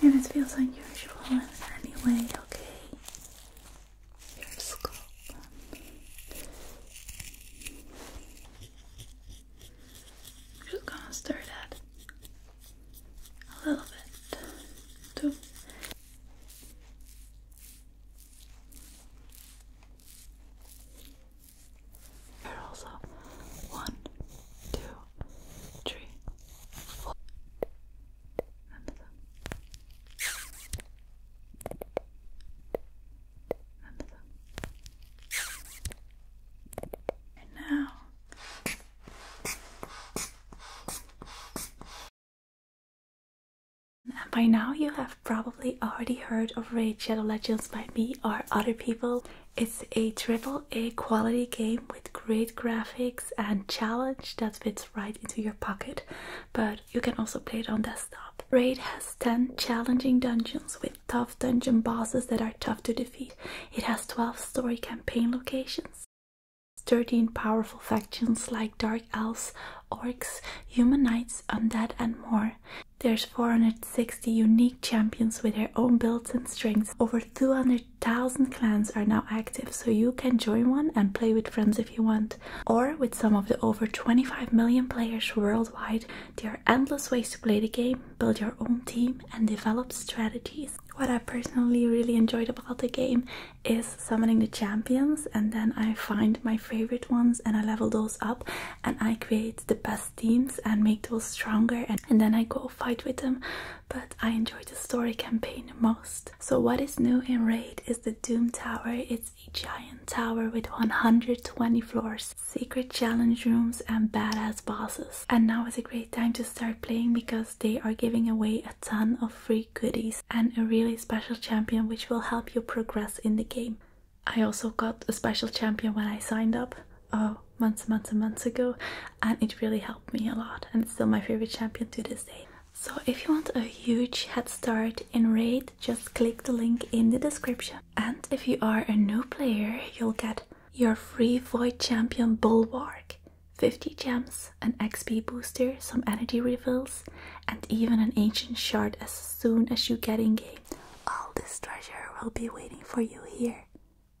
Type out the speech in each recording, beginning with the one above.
And it feels unusual in any way, okay? Your scalp. just gonna stir that a little bit too. But also one, two, three, by now you have probably already heard of Raid Shadow Legends by me or other people it's a triple A quality game with great graphics and challenge that fits right into your pocket, but you can also play it on desktop. Raid has 10 challenging dungeons with tough dungeon bosses that are tough to defeat. It has 12 story campaign locations. 13 powerful factions like Dark Elves, Orcs, Human Knights, Undead, and more. There's 460 unique champions with their own builds and strengths, over 200 100,000 clans are now active, so you can join one and play with friends if you want. Or with some of the over 25 million players worldwide, there are endless ways to play the game, build your own team, and develop strategies. What I personally really enjoyed about the game is summoning the champions, and then I find my favorite ones and I level those up and I create the best teams and make those stronger, and then I go fight with them but I enjoyed the story campaign most. So what is new in Raid is the Doom Tower. It's a giant tower with 120 floors, secret challenge rooms and badass bosses. And now is a great time to start playing because they are giving away a ton of free goodies and a really special champion which will help you progress in the game. I also got a special champion when I signed up. Oh, months and months and months ago and it really helped me a lot and it's still my favorite champion to this day. So if you want a huge head start in Raid, just click the link in the description. And if you are a new player, you'll get your free Void Champion Bulwark, 50 gems, an XP booster, some energy refills, and even an ancient shard as soon as you get in game. All this treasure will be waiting for you here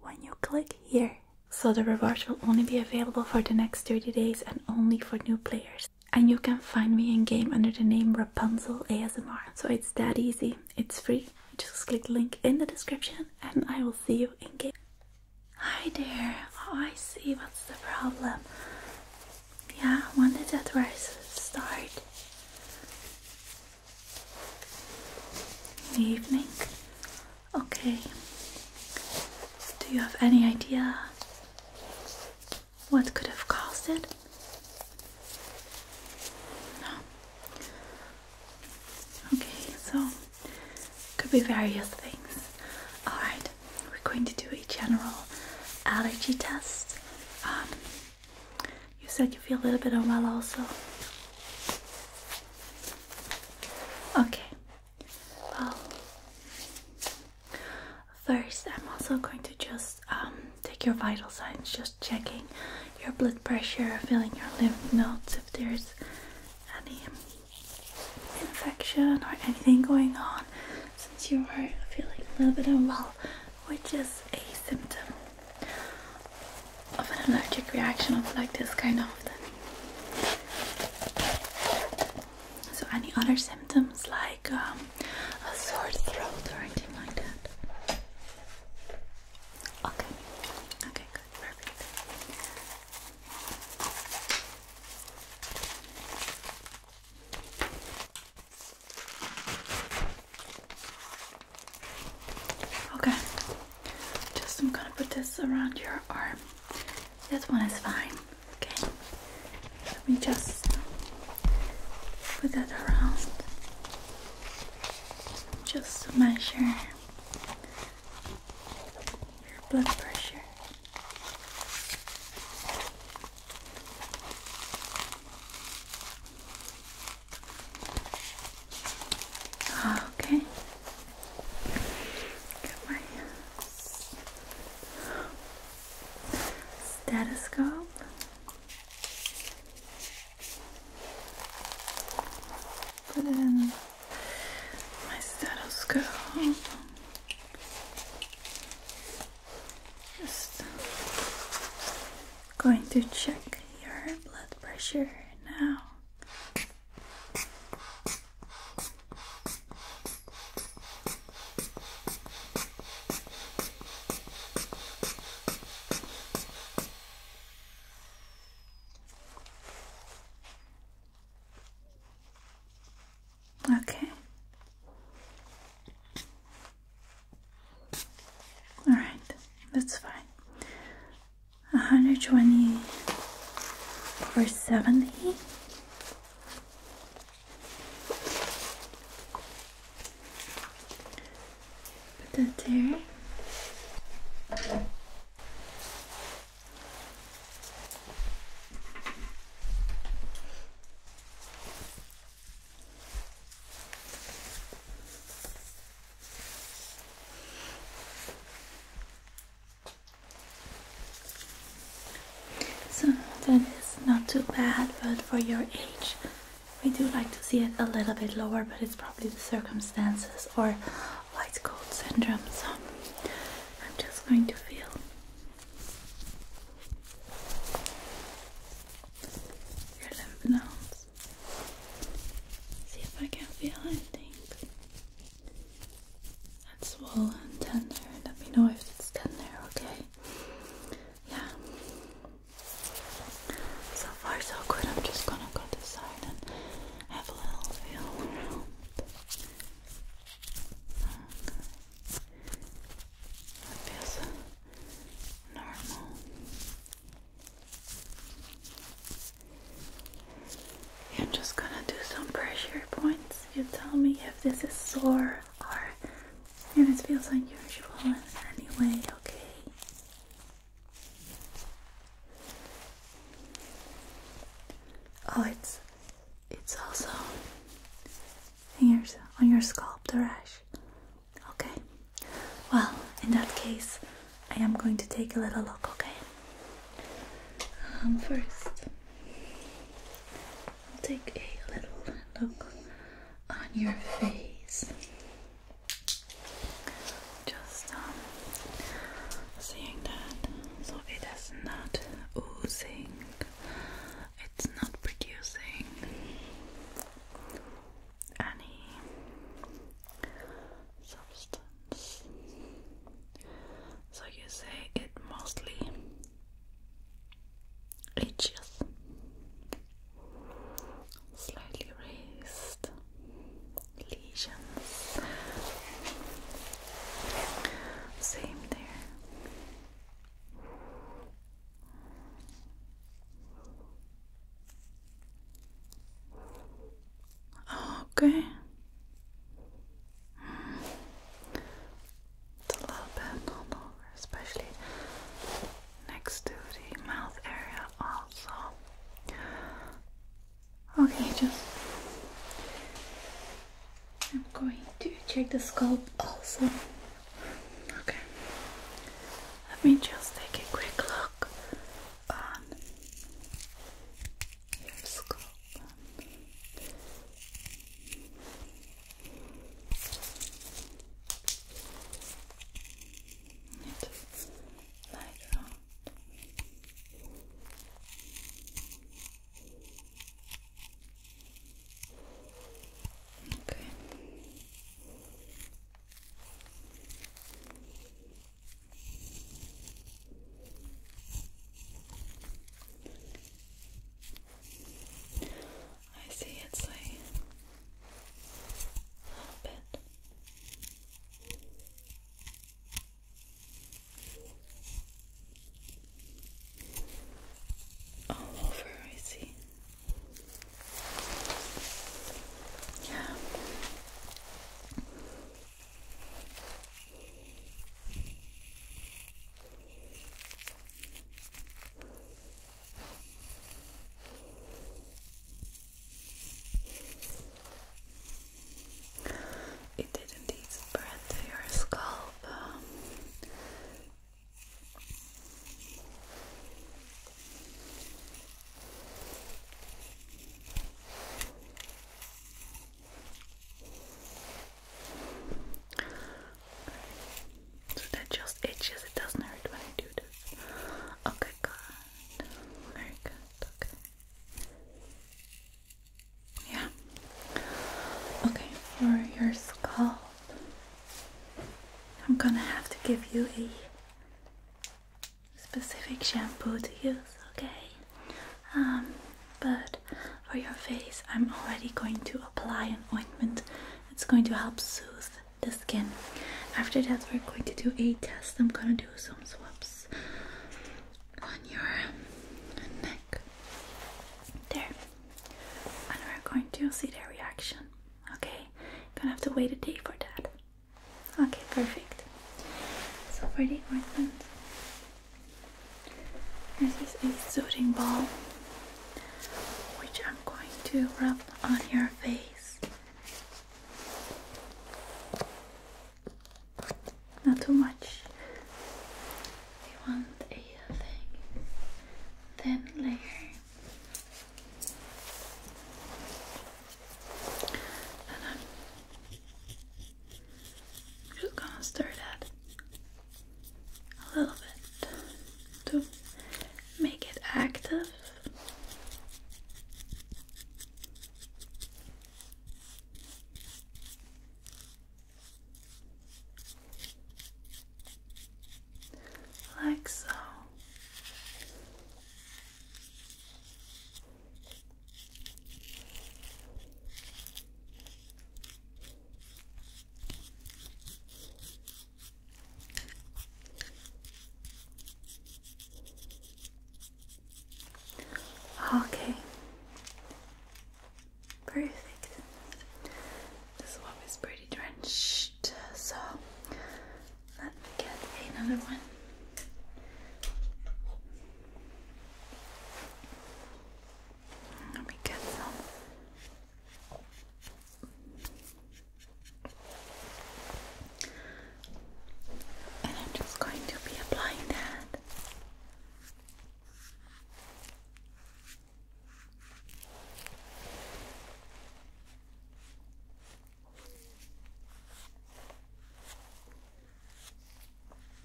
when you click here. So the reward will only be available for the next 30 days and only for new players. And you can find me in game under the name Rapunzel ASMR. So it's that easy, it's free. Just click the link in the description and I will see you in game. Hi there, oh I see what's the problem. Yeah, when did that verse start? evening? Okay. Do you have any idea what could have caused it? No. Okay, so could be various things. Alright, we're going to do a general allergy test. Um, you said you feel a little bit unwell also. Okay, well, first I'm also going to just um, take your vital signs, just checking your blood pressure, feeling your lymph nodes if there's any infection or anything going on since you are feeling a little bit unwell, which is a symptom of an allergic reaction of like this kind of thing. So any other symptoms like um, a sore throat or anything like that? Okay. Okay, good, perfect. Okay, just I'm gonna put this around your arm. This one is fine. Okay, let me just put that around. Just to measure your blood pressure. Okay. Got my stethoscope. Put my stethoscope. Just going to check your blood pressure now. Okay. All right, that's fine. 120 over 70. Put that there. So that is not too bad, but for your age, we do like to see it a little bit lower, but it's probably the circumstances or white coat syndrome. So I'm just going to feel. Your lymph nodes. See if I can feel anything that's swollen, tender. Let me know if it's tender, okay? Yeah. So far, so good. I'm just gonna go this side and have a little feel around. Okay. feels normal. I'm just gonna do some pressure points. You tell me if this is sore or if it feels unusual in any way, okay? Oh, it's it's also in on your scalp, the rash. Okay. Well, in that case, I am going to take a little look, okay? Um, first, I'll take a little look on your face. Just um, seeing that so it is not oozing, it's not producing any substance. So you say it mostly itches, slightly raised lesions. Same there. Okay. It's a little bit all over, especially next to the mouth area also. Okay, just I'm going to check the scalp also. Okay. Let me just take a quick look on your scalp. Just like that. Okay. I see it's a little bit all oh, over, I see. It didn't even spread to your scalp. Um, so that just itches, it doesn't hurt when I do this. Okay, good. Very good, okay. Yeah. Okay, for your scalp, I'm gonna have to give you a specific shampoo to use, okay? Um, but for your face, I'm already going to apply an ointment. It's going to help soothe the skin. After that, we're going to do a test. I'm gonna do some swabs on your neck. There. And we're going to see the reaction. Okay, gonna have to wait a day for that. Okay, perfect. So for the ointment, this is a soothing ball, which I'm going to rub on your face. Not too much. We want a thing thin layer and I'm just gonna stir that a little bit to make it active like so. Okay, perfect. This one is pretty drenched, so let me get another one. Let me get some. And I'm just going to be applying that.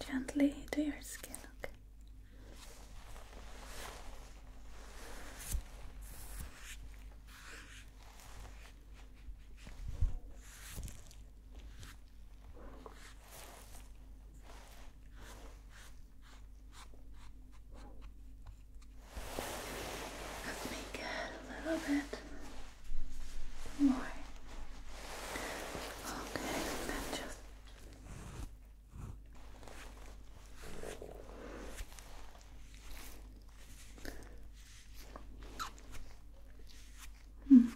Gently to your skin, okay. Let me get a little bit more. Okay, then just Hmm.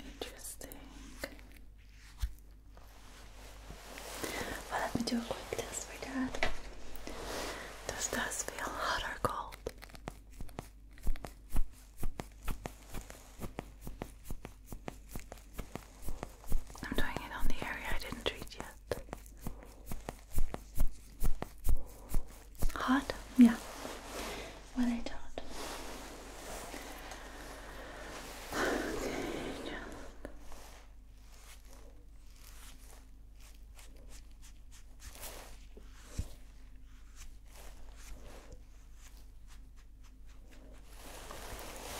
Interesting. Well, let me do a quick test for that. Does this feel hot or cold? I'm doing it on the area I didn't treat yet. Hot? Yeah what I taught. Okay, just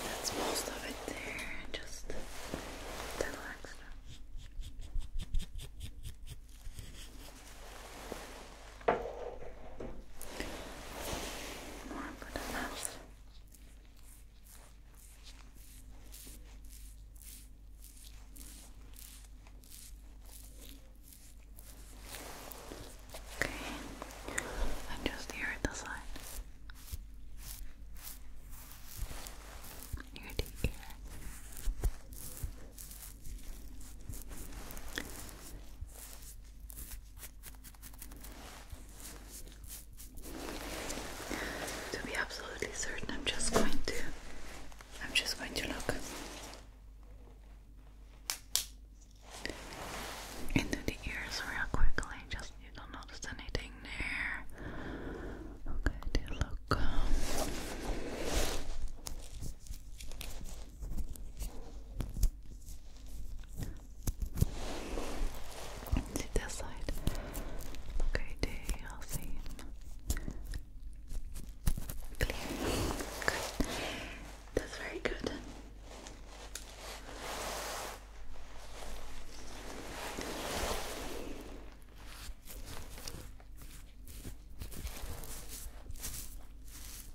that's most of it there, just the little extra. More good enough. Okay, and just here at the side. Near the ear. To be absolutely certain, I'm just going to I'm just going to look into the ears real quickly, just you don't notice anything there. Okay, do look See this side. Okay, do you see? Good. That's very good.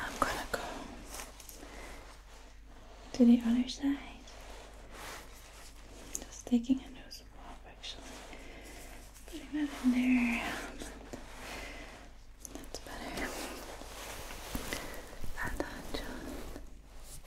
I'm gonna go to the other side. Just taking a nose pop actually. Putting that in there. That's better. And then just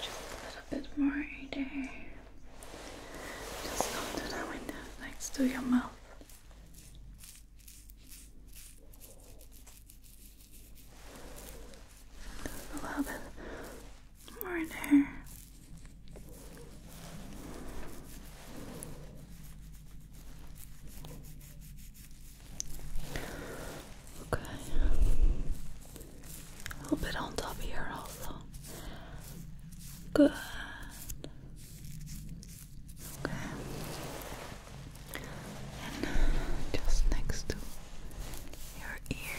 Just a little bit more there. Just go to the window next to your mouth. a little bit more there. Okay. A little bit on top here also. Good. Okay. And just next to your ear.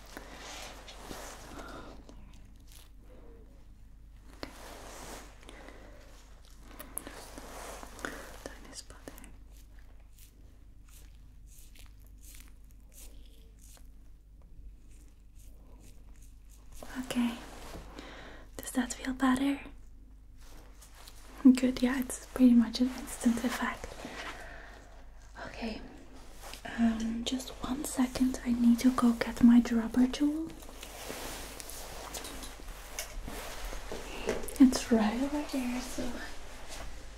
Okay. Does that feel better? Good, yeah, it's pretty much an instant effect. Okay, um, just one second. I need to go get my rubber tool. It's right over there, so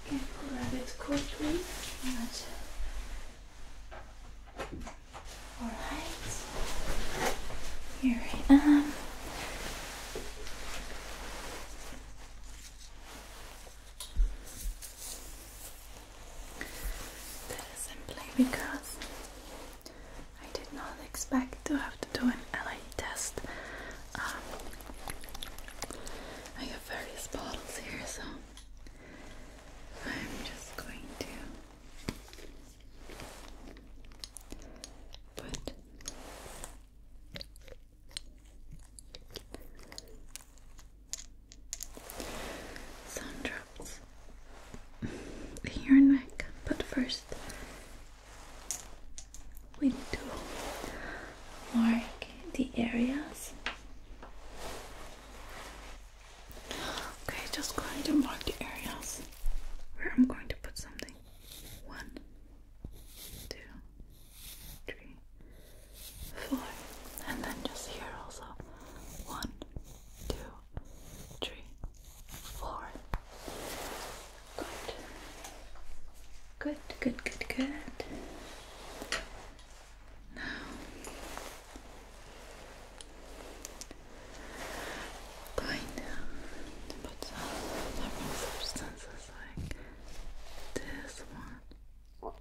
grab it quickly. Alright, here I am. That is simply because I did not expect to have to do an LA test. Um, I have various bottles here, so I'm just going to put some drops in your neck, but first we need to mark the areas. Okay, just going to mark the areas where I'm going to put something. One, two, three, four, and then just here also one, two, three, four. Good. Good, good, good, good. Now I'm some different substances like this one.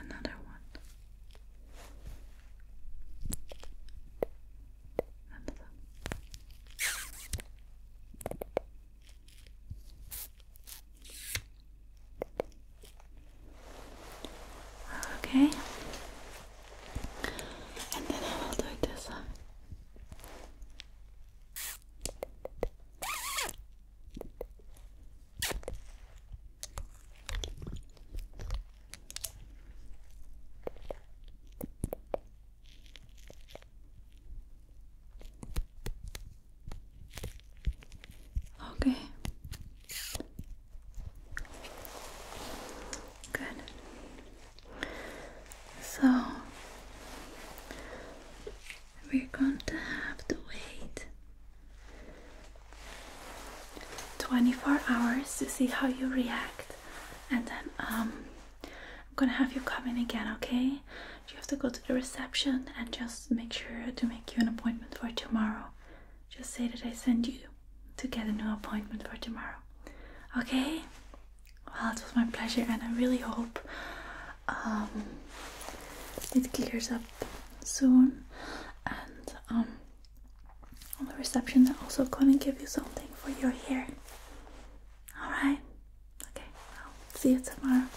Another one. Another. Okay, and then I will do this side. Okay. Good. So we're going to have to wait 24 hours to see how you react and then um, I'm gonna have you come in again, okay? You have to go to the reception and just make sure to make you an appointment for tomorrow. Just say that I send you to get a new appointment for tomorrow, okay? Well, it was my pleasure, and I really hope um, it clears up soon. And um, on the reception, they're also gonna give you something for your hair. All right. Okay. I'll see you tomorrow.